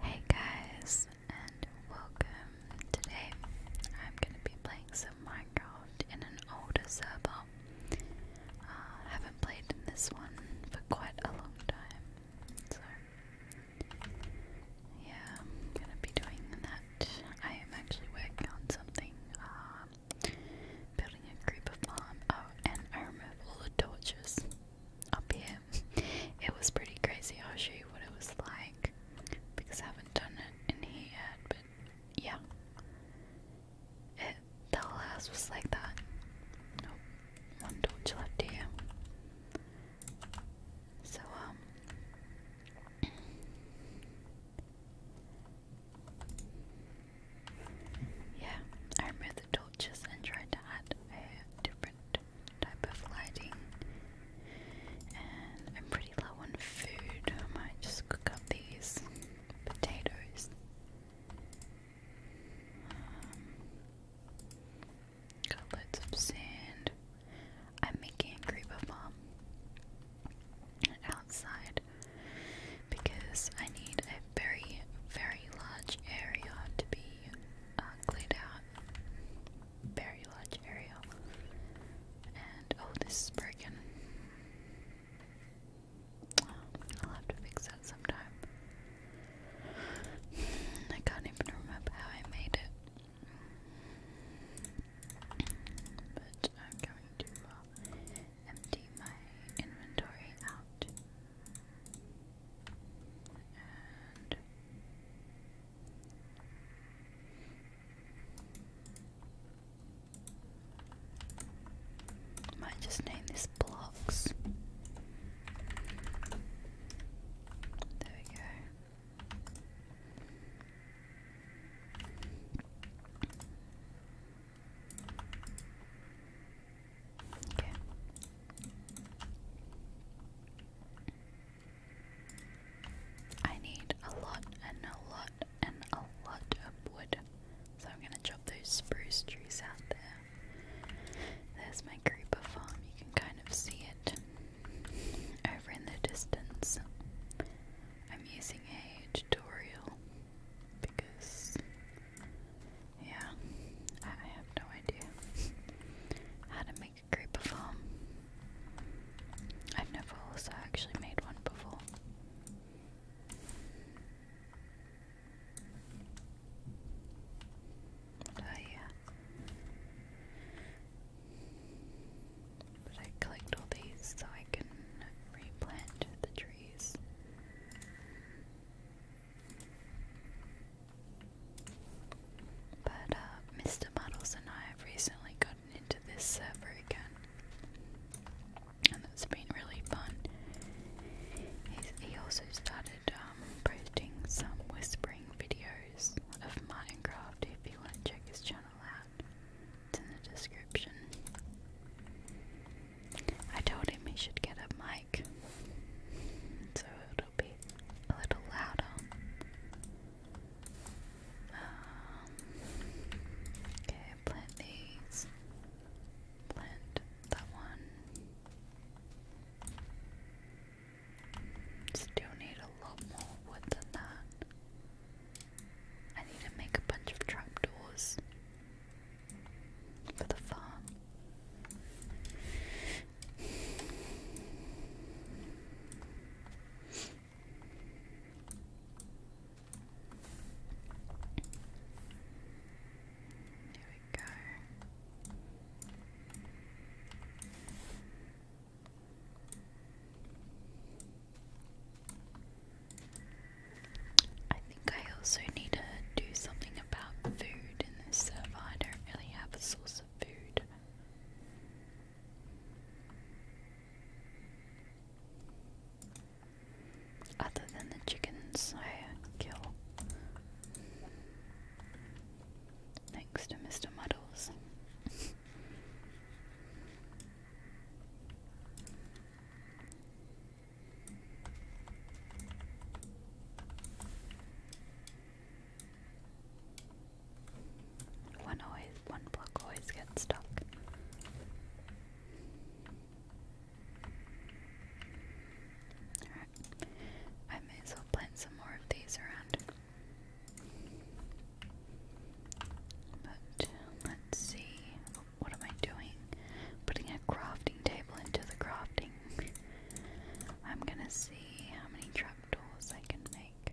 Hey guys, and welcome. Today I'm gonna be playing some Minecraft in an older server. Uh, haven't played in this one for quite a long time, so yeah, gonna be doing that. I am actually working on something, uh, building a creeper farm. Oh, and I remove all the torches up here. It was pretty crazy. I'll show you what it was like because I haven't done it in here yet. But yeah, it, the whole house was like that. Nope, oh, one torch left here. So um. Yeah, the and tried to add a different type of lighting. And I'm pretty low on food. I might just cook up these potatoes. Um, got loads of sand. I'm making a creeper farm outside because I need a very, very large area to be uh, out very large area. And oh, this is broken. I'll have to fix that sometime. I can't even remember how I made it. But I'm going to uh, empty my inventory out. And might just name this blocks. There we go. I need a lot and a lot and a lot of wood. So I'm gonna chop those spruce trees out there. There's my creeper farm, you can kind of see it over in the distance. I'm using a tutorial because yeah, I, I have no idea how to make a creeper farm. I've never also actually made one before. Oh yeah. But I collect all these so I can replant the trees. But uh, Mr. Muddles and I have recently gotten into this server again, and it has been really fun. he also started um, posting some whispering videos of Minecraft if you want to check his channel out. It's in the description. I told him he should get a mic so be a little louder. Um, okay, plant these. Plant that one. Still need a lot more wood than that. I need to make a bunch of trapdoors for the farm we go. I think I also need to do something about food in this server. I don't really have a source source of Other than the chickens I kill. Thanks to Mr. Muddles. One always one block always gets stuck. I may as well plant some more of these around. But let's see. What am I doing? Putting a crafting table into the crafting I'm gonna see how many trapdoors I can make.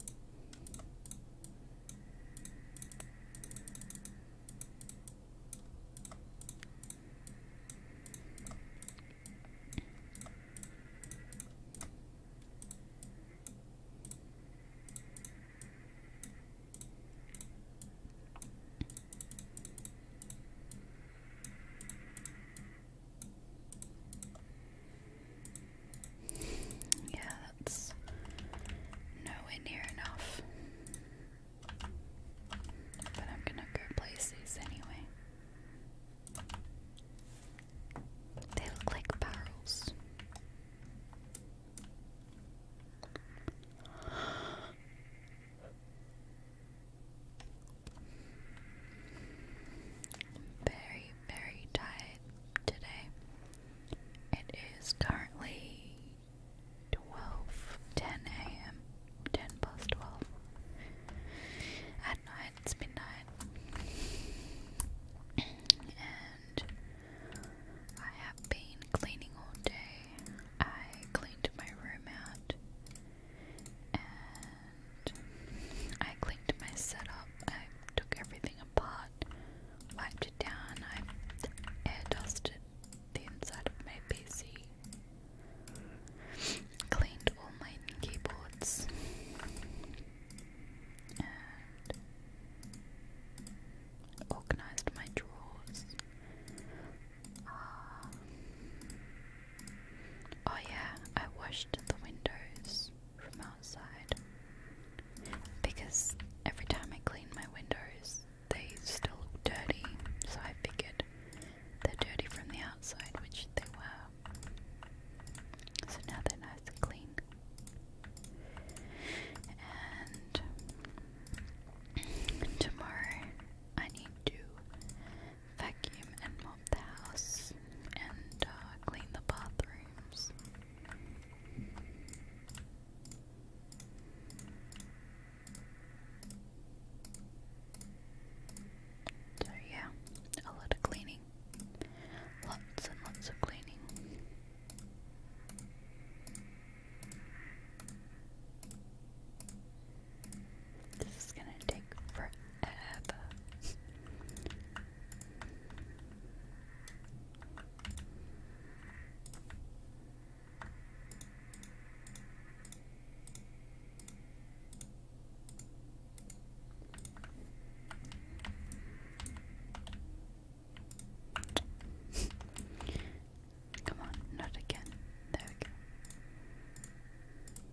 Yeah, that's nowhere near enough. But I'm gonna go these anyway. They look barrels very, very tired today. It is currently 12, 10 a.m., 10 past 12. At night, it's midnight. And I have been cleaning all day. I cleaned my room out. I cleaned my setup. I took everything apart, wiped it down. I air dusted the inside of my PC, cleaned all my keyboards, organized my drawers. Ah. Oh, yeah, I washed the windows from outside because every time I clean my windows, they still look dirty, so I figured they're dirty from the outside, which they were. So now they're nice and clean. And tomorrow I need to vacuum and mop the house and uh, clean the bathrooms. So, yeah, a lot of cleaning. Lots and lots of cleaning. This is gonna take forever. Come on, not again. There we go.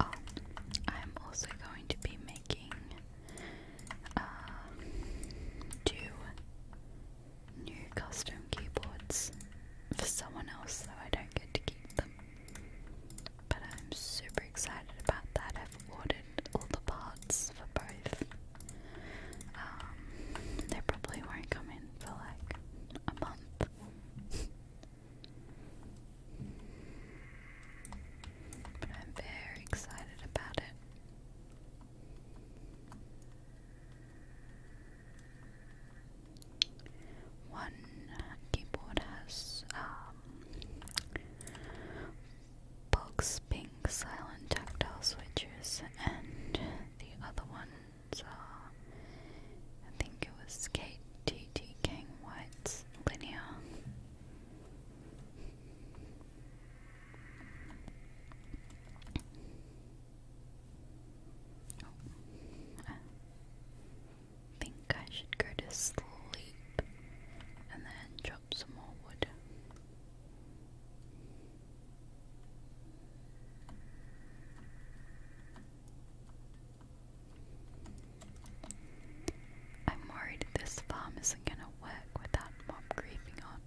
Oh, I'm also going to be making uh, two new custom keyboards for someone else, so I don't get to keep them. But I'm super excited about that. I've ordered all the parts for both. Um, they probably won't come in for like a month. But I'm very excited about it. One keyboard has um, pink silent tactile switches, and the other ones I think it was Kate T linear. Oh. I think I should go to sleep and then chop some more wood. I'm worried this farm isn't gonna work without Mom grieving on.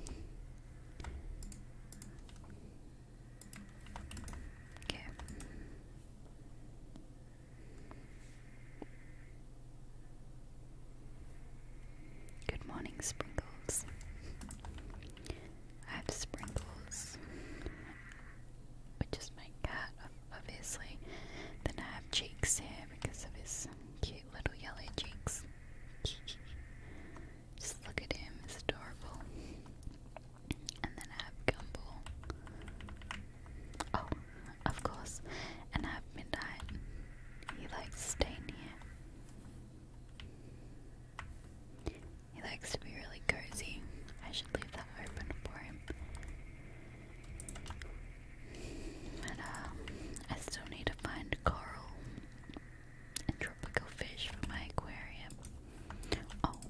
okay. Good morning, Sprinkles. I have Sprinkles, which is my cat, obviously. Then I have Cheeks here because of his cute little yellow cheeks. Just look at him, he's adorable. And then I have Gumball. Oh, of course. And at midnight, he likes staying here. He likes to be really cozy. I should leave that open for him. But um, I still need to find coral and tropical fish for my aquarium. Oh,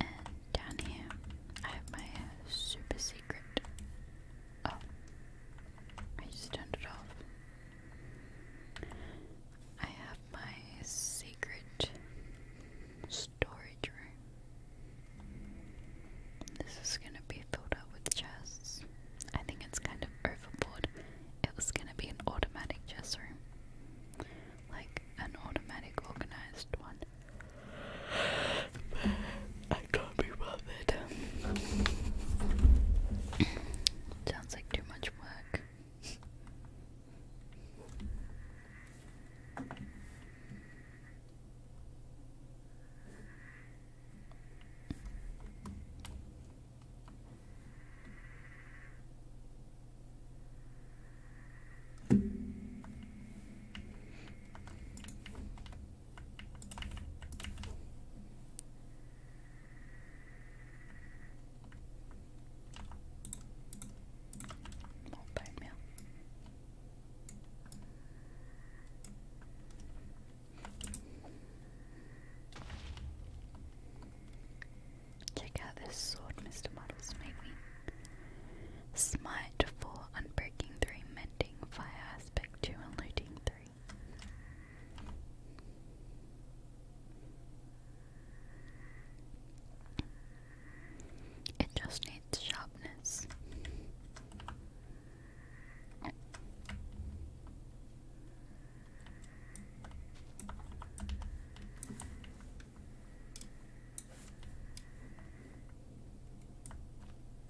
and down here I have my uh, super secret Oh, I just turned it off. I have my secret storage room. This is gonna be filled up with chests. I think it's kind of overboard. It was gonna be an automatic chest room, like an automatic organized one. I can't be bothered. Sounds like too much work. 뭐 빨면 Check out this sword Mr. Muddles made me. Smite 4, Unbreaking 3, Mending, Fire Aspect 2, and Looting 3. It just needs sharpness.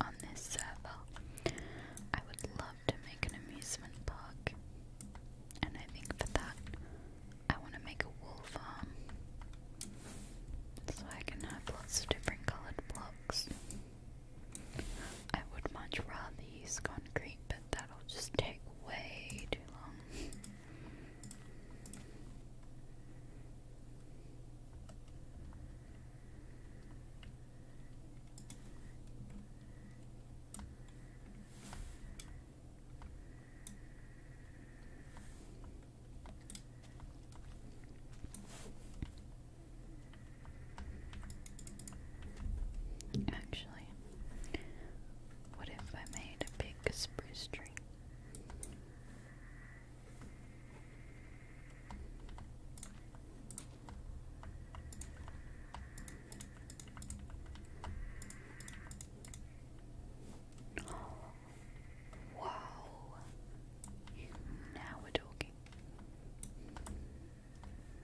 On this server, I would love to make an amusement park, and I think for that, I want to make a wool farm so I can have lots of different colored blocks. I would much rather use concrete, but that'll just take way too long. Actually, what if I made a big spruce tree? wow. Now we're talking.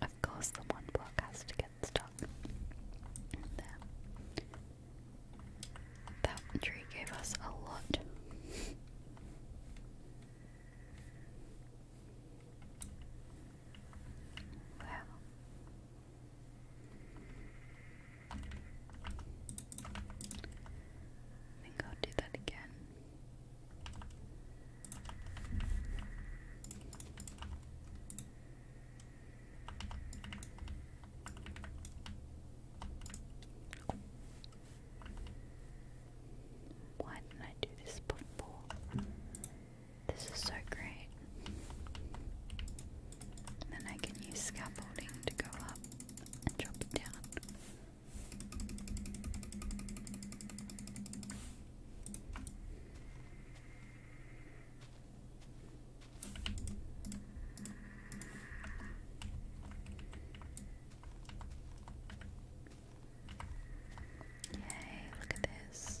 of course, the one block has to get stuck in there. That tree gave us a lot. Well. I think i do that again. Why didn't I do this before? This is so great. then I can use scaffolding to go up and drop down. Yay, look at this.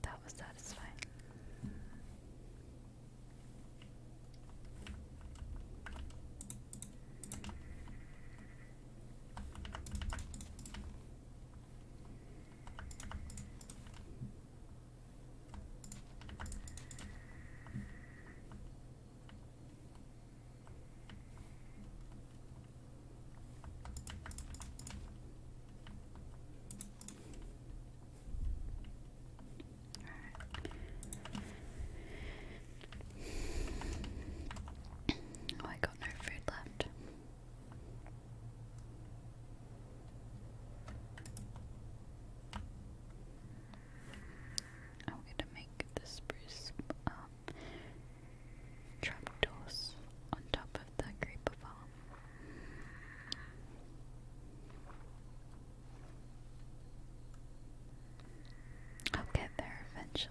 that was satisfying. Alright. Oh, I got no food left. I'm gonna make the spruce um trapdoors on top of the creeper farm. I'll get there eventually.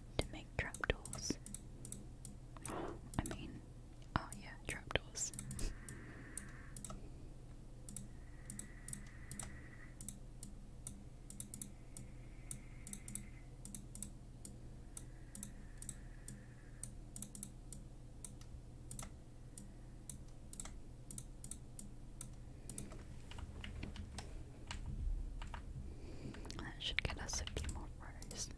wood to make trapdoors. I mean, oh yeah, trapdoors. That should get us a few more worse.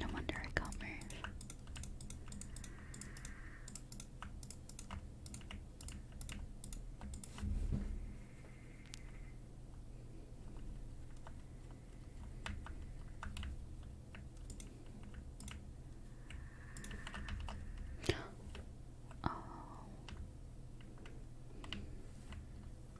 No wonder I can't move. Oh.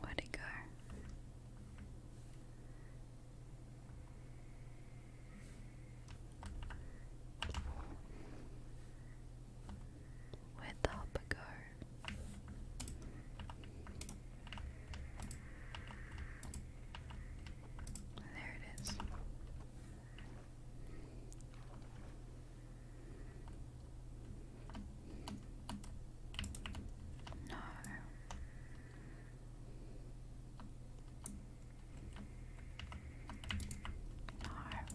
Where'd it go? Where'd the hopper go? There it is. No. No.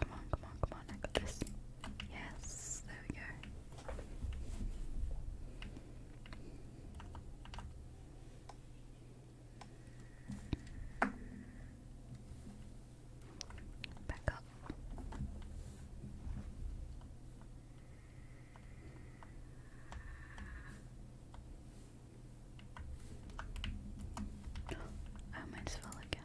Come on, come on, come on, I got this. Yes, there we go. Back up. I might as again.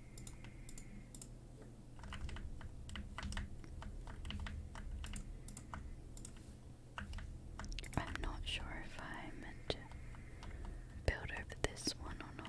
I'm not sure if I meant to build over this one or not.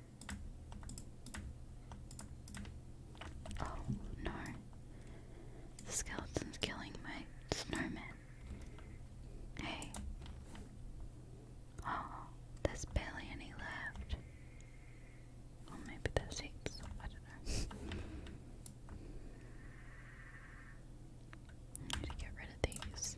Oh no. The skeleton's killing my snowman. Hey. Oh, there's barely any left. maybe there's heaps. I don't know. need to get rid of these.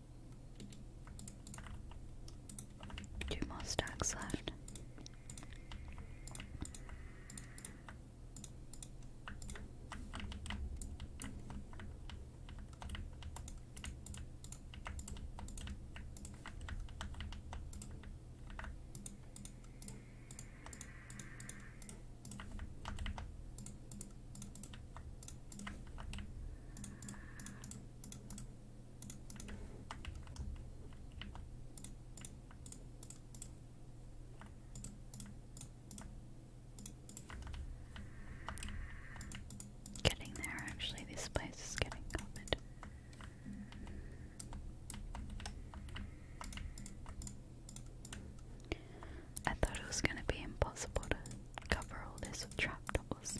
Two more stacks left. Getting there, actually, this place is getting covered. I thought it was going to be impossible to cover all this with trapdoors.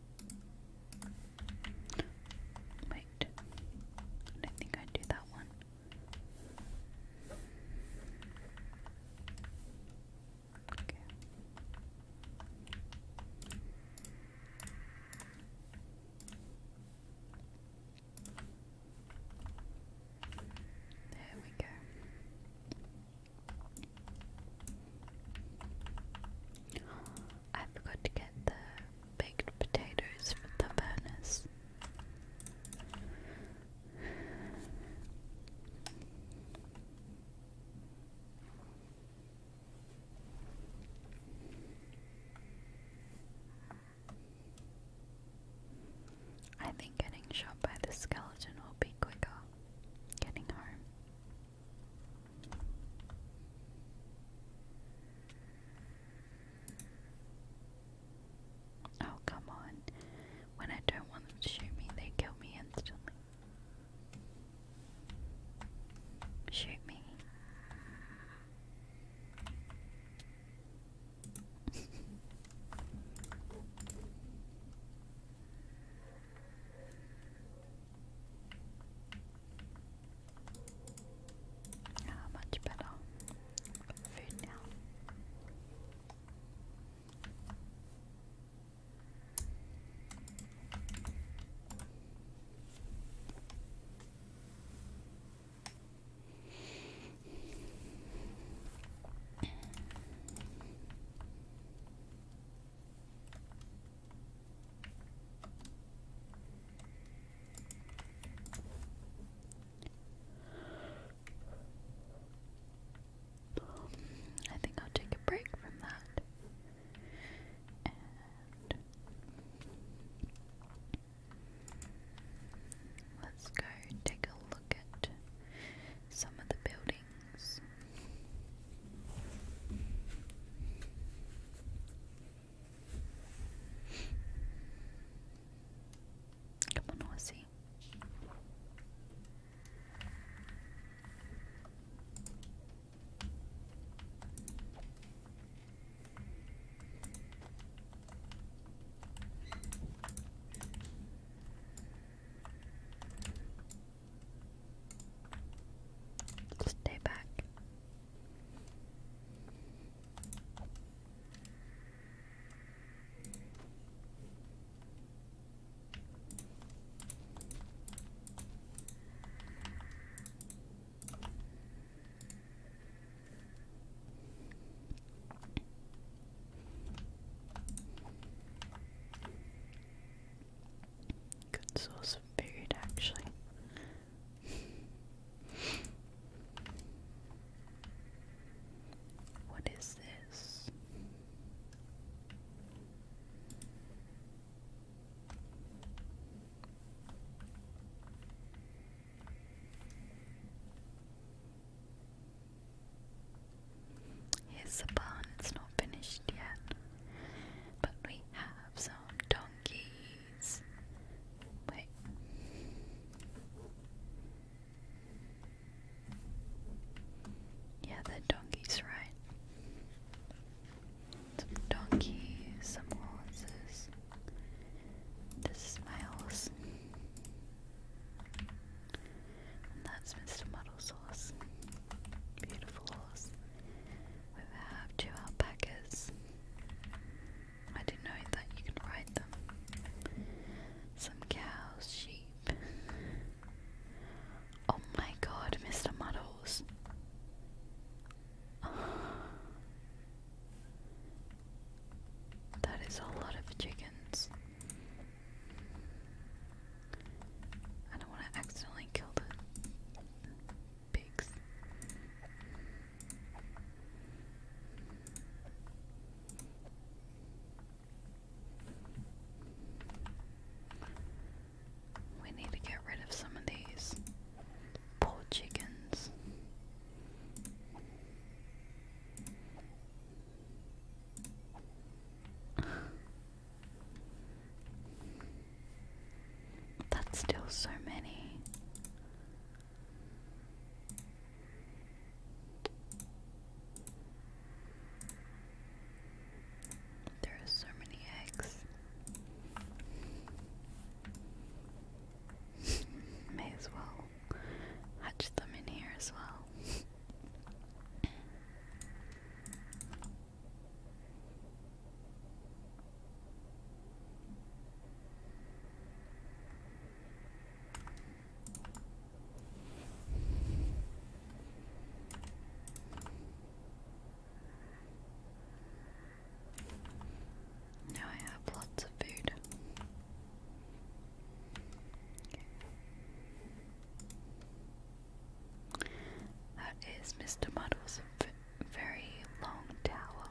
Wait, I think i do that one. Okay. There we go. I forgot to get the baked potatoes for the furnace. I think getting shot by the skeleton will be quicker getting home. Oh, come on. When I don't want them to shoot me, they kill me instantly. Shoot me. Ah, much better. Food now. I think I'll take a break from that. let's go take a look at some of the buildings Come on, Aussie. Stay back. Good source food actually. What is this? Here's the barn, it's not finished yet, but we have so donkeys. Wait. Yeah, the donkeys, right? Some donkeys, some horses. This is my horse. And that's Mr. Muddle's horse. Beautiful horse. We have two alpacas. I didn't know that you could ride them. Some cows, sheep. Oh my god, Mr. Muddles. That is a lot of chickens. I don't want to accidentally kill them pigs. We need to get rid of some of these poor chickens. That's still so many. There are so many eggs. May as well hatch them in here as well. Now I have lots of food. Okay. That is Mr. Muddle's very long tower.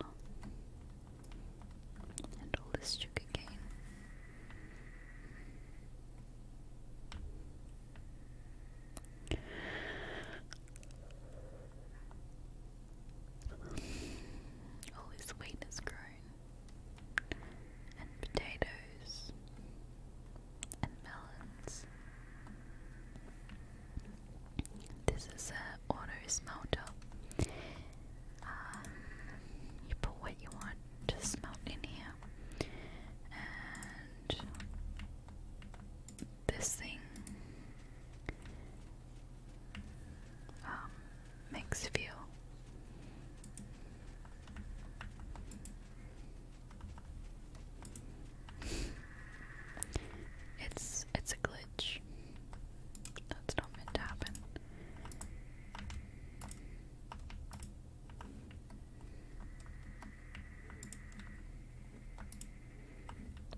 And all this sugarcane. All this wheat has grown, and potatoes, and melons. This is a auto smelter. Um, you put what you want to smelt in here, and this thing um, makes fuel it's it's a glitch. That's not meant to happen.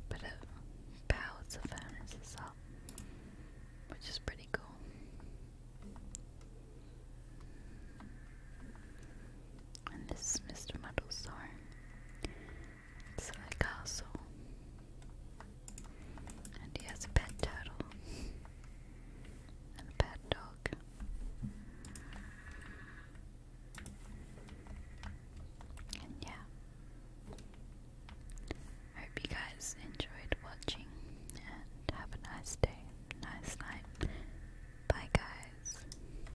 But it powers the furnaces up, which is pretty cool. And this is Mr. Muddlestar. It's a castle. And he has a pet turtle. And a pet dog. And yeah. hope you guys enjoyed watching and have a nice day, nice night. Bye guys.